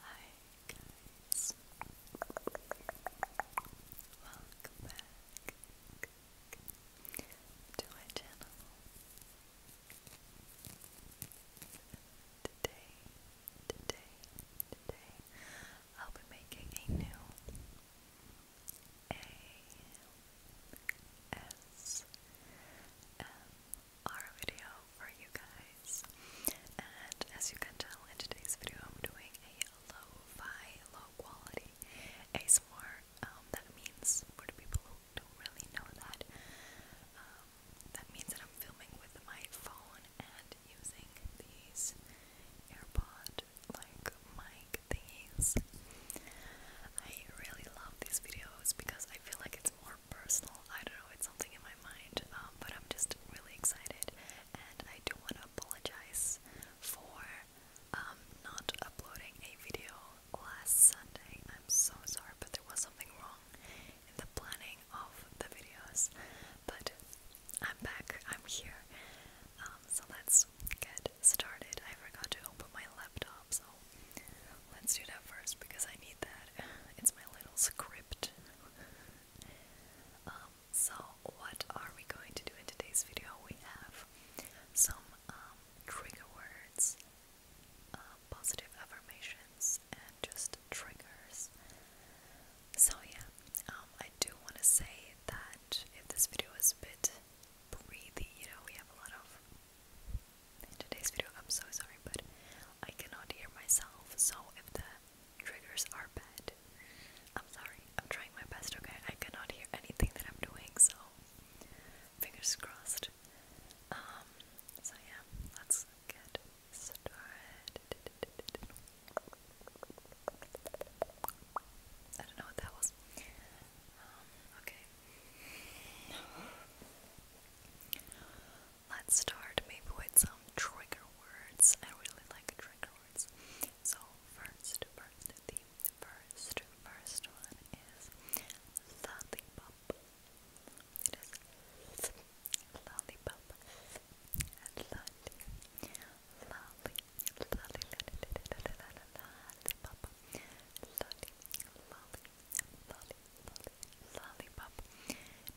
Hi guys, welcome back to my channel. Today, today, today, I'll be making a new A S M our video for you guys. And as you can tell, in today's video, I'm doing a low-fi, low-quality ASMR. Um, that means for the people who don't really know that, um, that means that I'm filming with my phone and using these AirPod like mic thingies. I really love these videos because I feel like it's more personal. I don't know, it's something in my mind, um, but I'm just really excited, and I do want to apologize for um, not uploading a video last Sunday. I'm so sorry, but there was something wrong in the planning of the videos, but I'm back, I'm here. Um, so let's get started. I forgot to open my laptop, so let's do that first because I need that. It's my little script. Um, so what are we going to do in today's video? We have some um, trigger words, uh, positive affirmations, and just triggers. So yeah, um, I do want to say that if this video is a bit breathy, you know, we have a lot of in today's video. I'm so sorry, but I cannot hear myself, so if the triggers are bad, I'm sorry. I'm trying my best, okay? I cannot hear anything that I'm doing, so fingers crossed. Um, so yeah, let's get started. I don't know what that was. Um, okay let's start maybe with some trigger words. I really like trigger words. So first, first, the first, first one is lollipop. It is lollipop. And lolly, lolly, lolly, lolly, lolly, lolly, lolly, lollipop.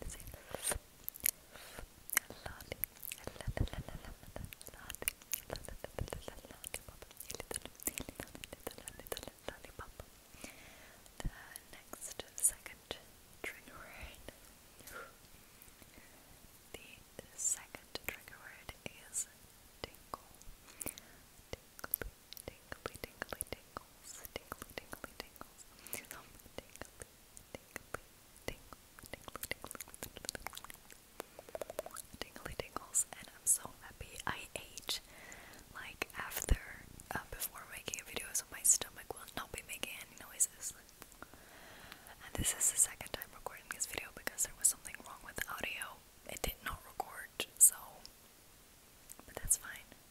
It is a lolly, lollipop, little lollipop. The next second trigger word. The second trigger word is tingle. Tingle, tingly, tingly, tingles, tingly, tingly, tingly, and I'm so happy. I ate like after, uh, before making a video, so my stomach will not be making any noises. And this is the second time recording this video because there was something wrong with the audio. It did not record, so. But that's fine.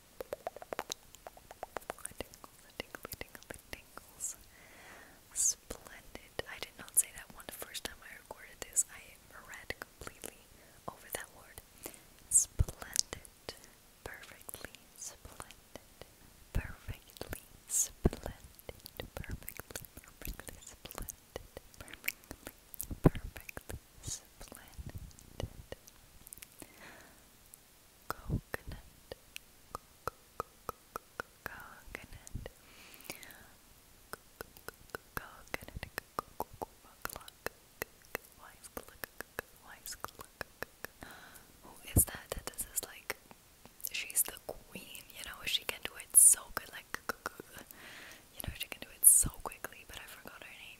It tingles, it tingles, it tingles, it tingles. Splendid. I did not say that one the first time I recorded this. I read completely over that word. Splendid. Perfectly splendid. Perfectly splendid. Perfectly, splendid. Perfectly, perfectly Splendid. Coconut. Coconut. Coconut. Who is that? That this is like she's the queen, you know, she can do it so good like you know she can do it so quickly, but I forgot her name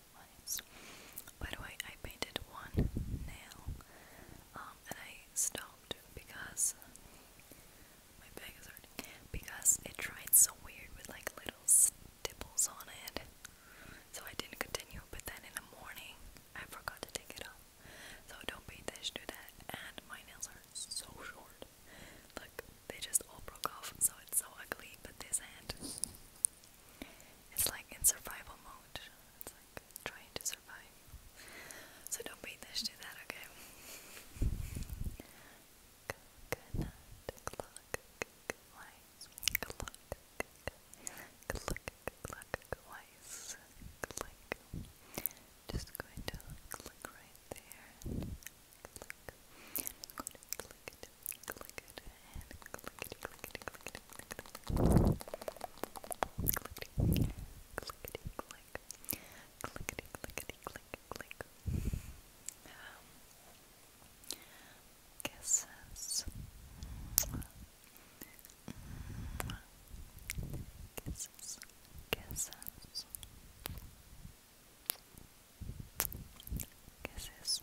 By the way, I painted one nail, um, and I stopped because my back is hurting because it dried so weird with like little stipples on it. So I didn't continue, but then in the morning I forgot to take it off. So don't pay this, to that. And my nails are so short. Look, they just all broke off, so it's so ugly. But this hand, it's like in survival mode. It's like trying to survive. So don't be this to that, okay? Coconut clock wise. Clock clock clock wise. Click. Just going to click right there. Click. i click it, click it, click it, click it, click it, clickety, clickety, click, clickety, clickety, click, click. Um, kisses, kisses, kisses. Kisses,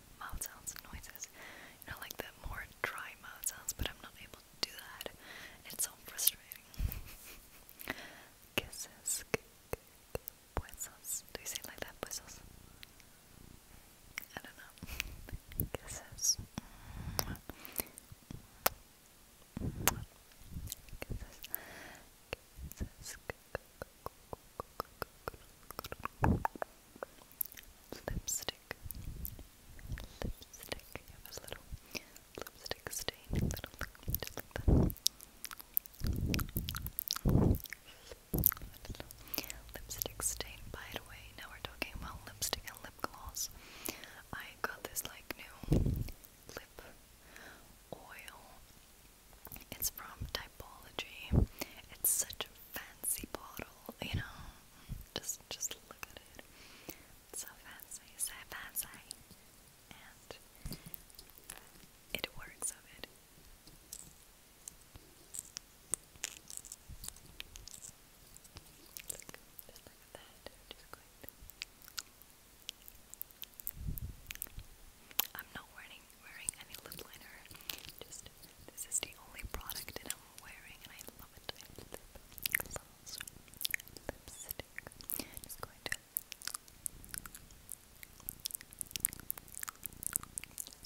mouth sounds and noises. You know, like the more dry mouth sounds, but I'm not able to do that. It's so frustrating. Kisses. Puesos. Do you say it like that? Puesos? I don't know. Kisses. Kisses. Kisses. Lipstick. Lipstick. You have a little lipstick stain. Little Lipstick stain. By the way, now we're talking about lipstick and lip gloss. I got this like new lip oil. It's from Typology. It's such fancy bottle, you know. Just just look at it. It's so fancy, so fancy. And it works of it. Look, look at that. Just going to... I'm not wearing wearing any lip liner. Just this is the only product that I'm wearing, and I love it. lip gloss, lipstick. just going to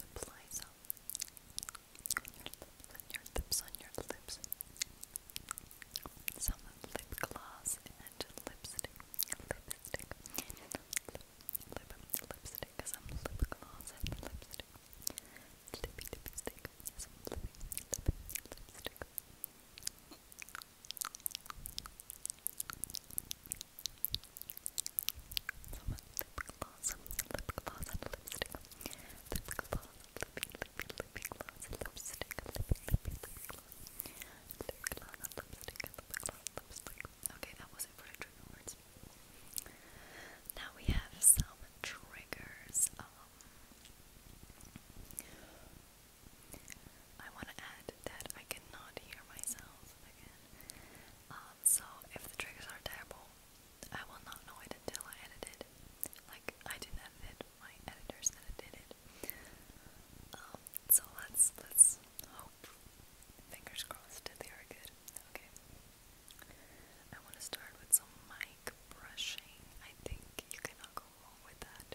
apply some on your lips, on your lips, Some lip gloss and lipstick, lipstick, lip, lip, lipstick, some lip gloss and lipstick. Lippy lipstick. Some lippy, lippy lipstick. Some lip gloss, lip gloss and lipstick. Lip gloss, lippy, lippy, lippy Okay, that was it for the trigger words. Now we have some triggers. Um, I want to add that I cannot hear myself again. Um, so if the triggers are terrible, I will not know it until I edited. Like I didn't edit my editors edited it. Um, so let's let's hope. Fingers crossed that they are good. Okay. I want to start with some mic brushing. I think you cannot go wrong with that.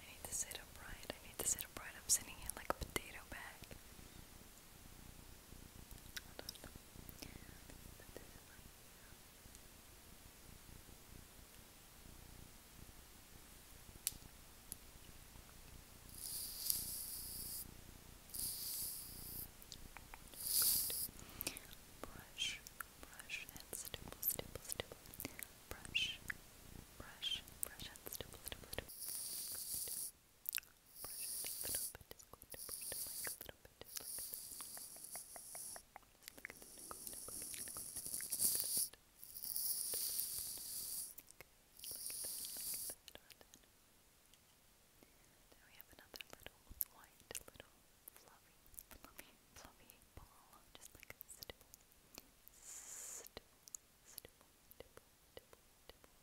I need to sit upright. I need to sit upright. I'm sitting here like a potato bag. Hold on. Put this in my Brush, brush and stipple, stipple, stipple. Brush, brush, brush and stipple, stipple, stipple. Good. Brush it a little bit. It's going to brush it like a little bit, like this. Then we have another little white, little fluffy, fluffy, fluffy ball, just like a stipple, stipple, stipple, stipple, stipple, stipple. Okay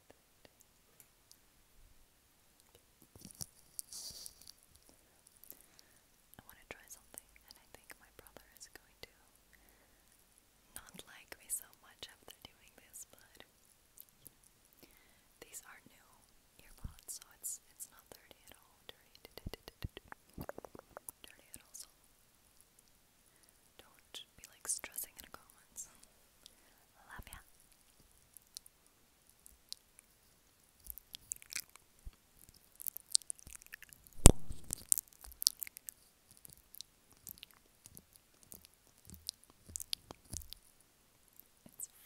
I want to try something, and I think my brother is going to not like me so much after doing this, but you these are new earbuds, so it's it's not dirty at all. Dirty, dirty at all. don't be like stressing in the comments. Love ya. It's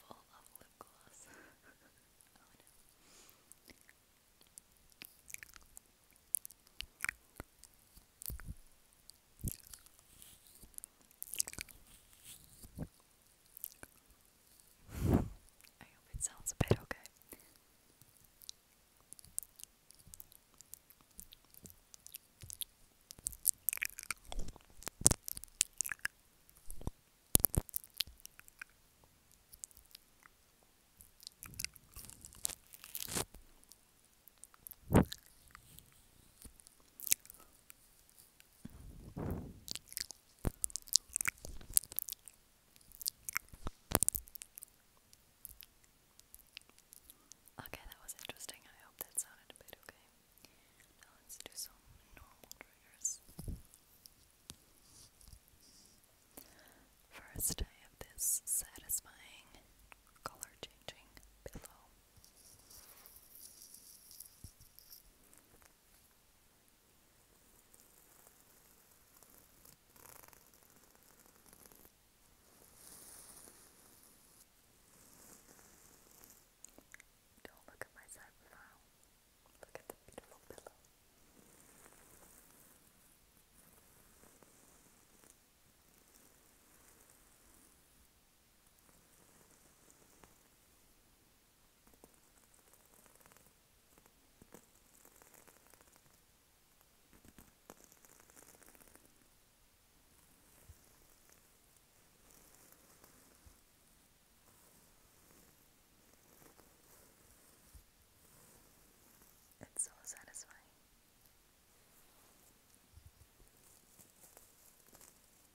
full of lip gloss. oh no. I hope it sounds a bit okay. Okay, that was interesting. I hope that sounded a bit okay. let's do some normal triggers. First, I have this satisfying color changing pillow. Don't look at my side for now. Look at the beautiful pillow. It's it's so satisfying.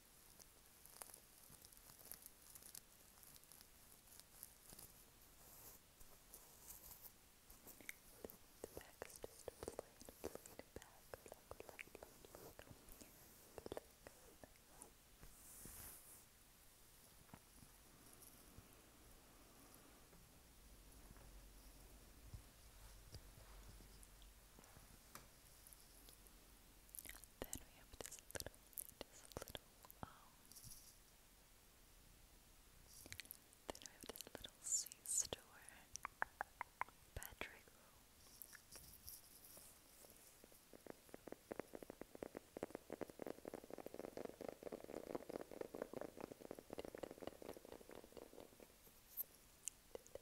The back is just a plain, plain back. Look, look, look, look. Look. Good. Then we have this little, this little, um, then we have this little sea store, Patrick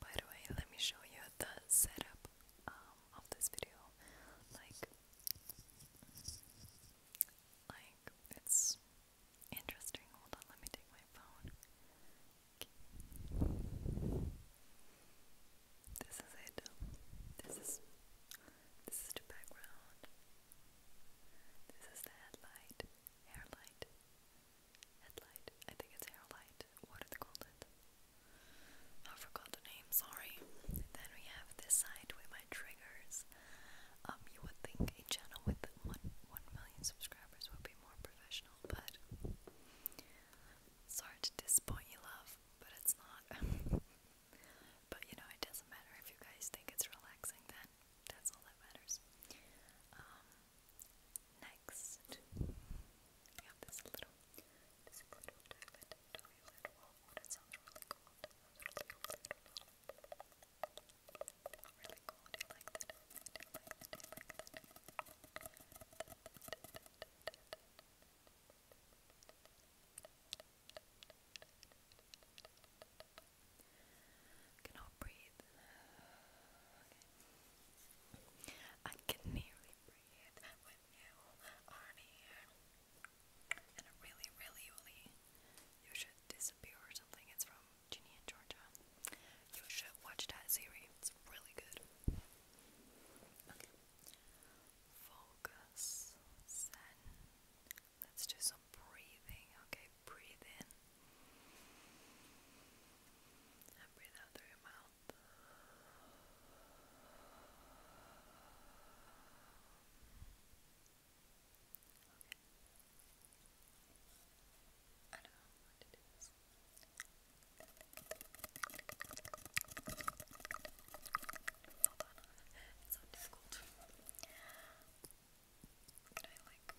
By the way, let me show you the setup um, of this video. Like, like it's interesting. Hold on, let me take my phone. This is it. This is this is the background. This is the headlight, hairlight, Headlight. I think it's hair light. What it? I forgot the name, sorry. Then we have this side with my triggers. Um, you would think a channel with one one million subscribers would be more professional, but sorry to disappoint you love, but it's not. but you know, it doesn't matter if you guys think it's relaxing then. That's all that matters. Um Next, we have this little, this little diamond toilet roll. Oh, that sounds really cool. That sounds really cool. Really cool. Do you like that? Do you like that? Do you like that? Cannot breathe. Okay, I can nearly breathe when you are here. And really, really, really, you should disappear or something. It's from Ginny and Georgia. You should watch that series. It's really good. Focus. Let's do some breathing. Okay, breathe in. And breathe out through your mouth. Hold on. It's so difficult. I like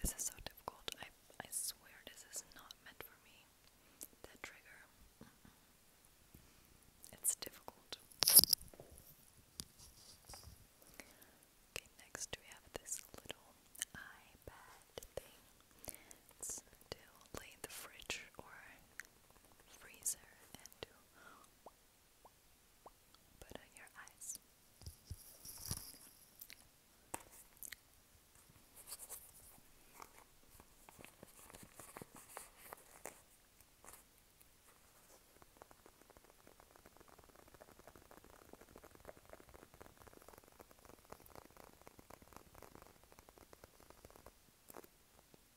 This is so difficult. I I swear this is not meant for me. That trigger. It's difficult. Okay, next we have this little iPad thing. It's to lay in the fridge or freezer and to Put on your eyes. Good.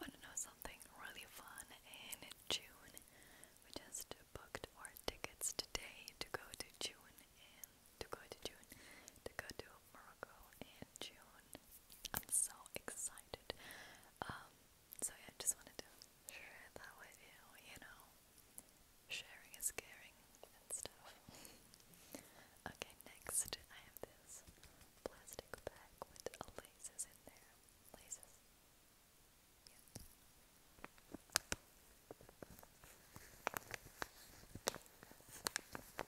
Want to know something really fun in June? We just booked our tickets today to go to June and to go to June to go to Morocco in June. I'm so excited. Um, so yeah, just wanted to share that with you, you know. Sharing is caring and stuff. okay, next I have this plastic bag with uh, laces in there. Laces. Yeah.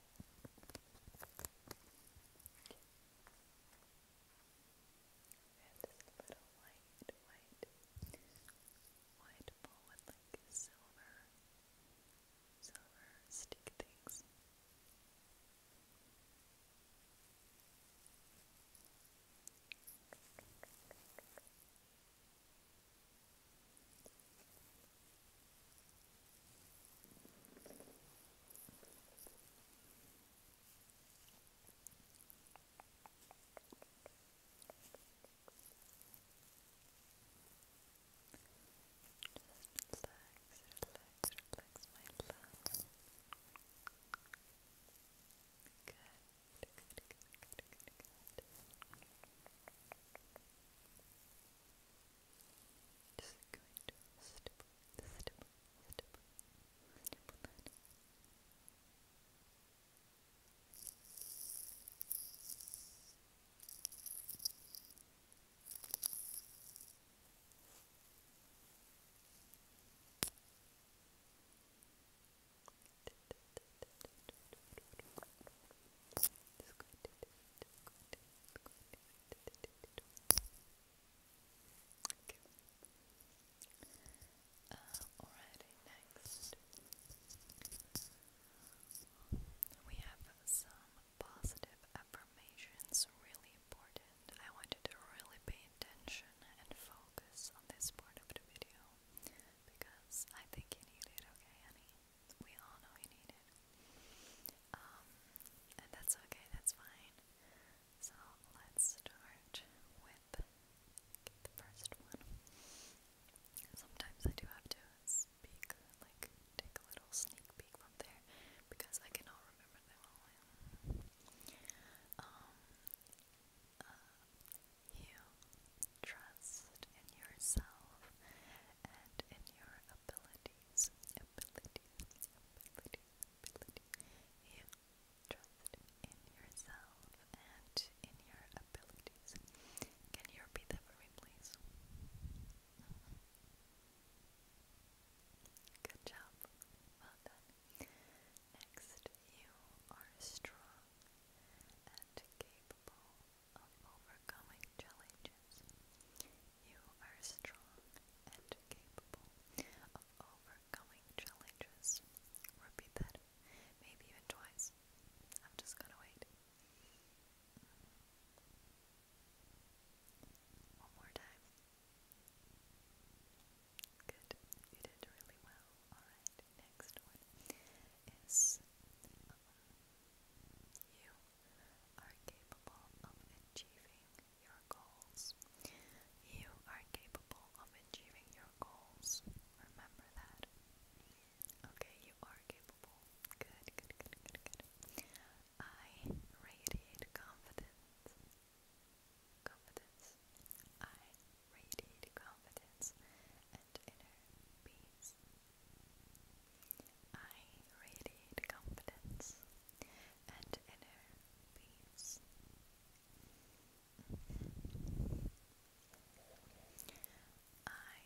And this little white, white, white ball with like silver, silver stick things. Just relax, relax, relax, my love. Good, good, good, good, good, good. Just going to stipple, stipple, stipple, stipple that. Just going Okay. Uh, next we have some positive affirmations, really important. I want you to really pay attention and focus on this part of the video because I think you need it, okay, honey? we all know you need it. Um, and that's okay, that's fine. So let's start with the first one. Sometimes I do have to speak, like take a little sneak peek from there because I cannot remember them all. Um, uh, trust in yourself and in your abilities, abilities, abilities, abilities. You trust in yourself and in your abilities. Can you repeat that for me, please? Mm-hmm. Good job. Next, you are strong and capable of overcoming challenges. You are strong and capable of overcoming challenges. Repeat that, maybe even twice. I'm just gonna wait. One more time. Good, you did really well. Alright, next one is um, you are capable of achieving your goals. You are capable of achieving your goals. Remember that. Okay, you are capable. Good, good, good, good, good. I radiate confidence. Confidence. I radiate confidence and inner peace. I radiate confidence and inner peace. I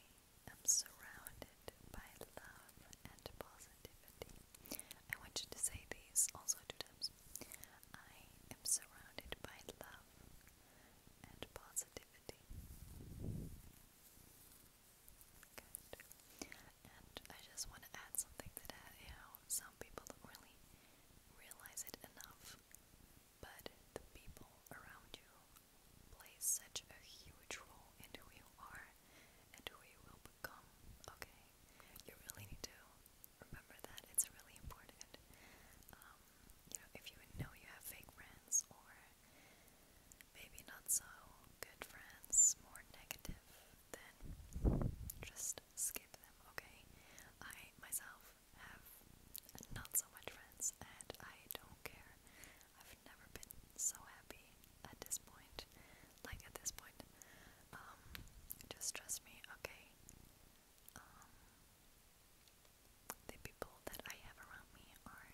am surrounded by love and positivity. I want you to say these also two times. I am surrounded by love and positivity. Good. And I just want to add something to that, how some people don't really realize it enough, but the people around you play such a huge role in who you are and who you will become, okay? You really need to remember that. It's really important. Um, you know, if you know you have fake friends or maybe not so good friends, more negative, then just skip them, okay? I myself have not so much friends and I don't care. I've never been so happy at this point. Like at this point. Um, just trust me, okay? Um, the people that I have around me are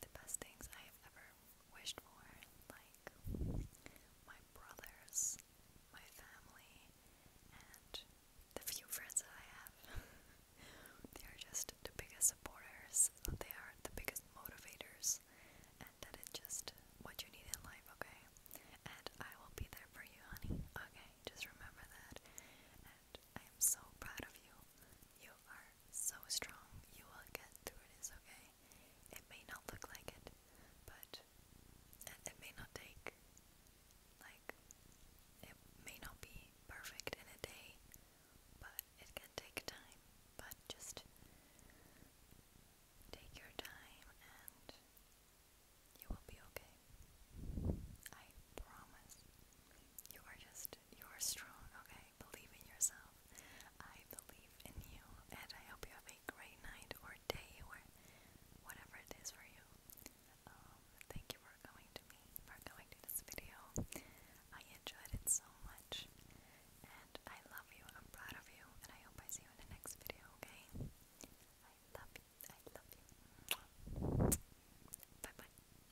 the best things I have ever wished for, like my brothers, my family, and the few friends that I have. they are just the biggest supporters, they are the biggest motivators, and that is just what you need in life, okay? And I will be there for you, honey, okay? Just remember that. And I am so proud of you. You are so strong. You will get through it. It's okay? It may not look like it, but it may not take like it may not be perfect in a day, but it can take time. But just take your time and you will be okay. I promise. You are just, you are strong, okay? Believe in yourself. I believe in you, and I hope you have a great night or day or whatever it is for you. Um, thank you for coming to me, for coming to this video. I enjoyed it so much, and I love you, I'm proud of you, and I hope I see you in the next video, okay? I love you, Bye bye.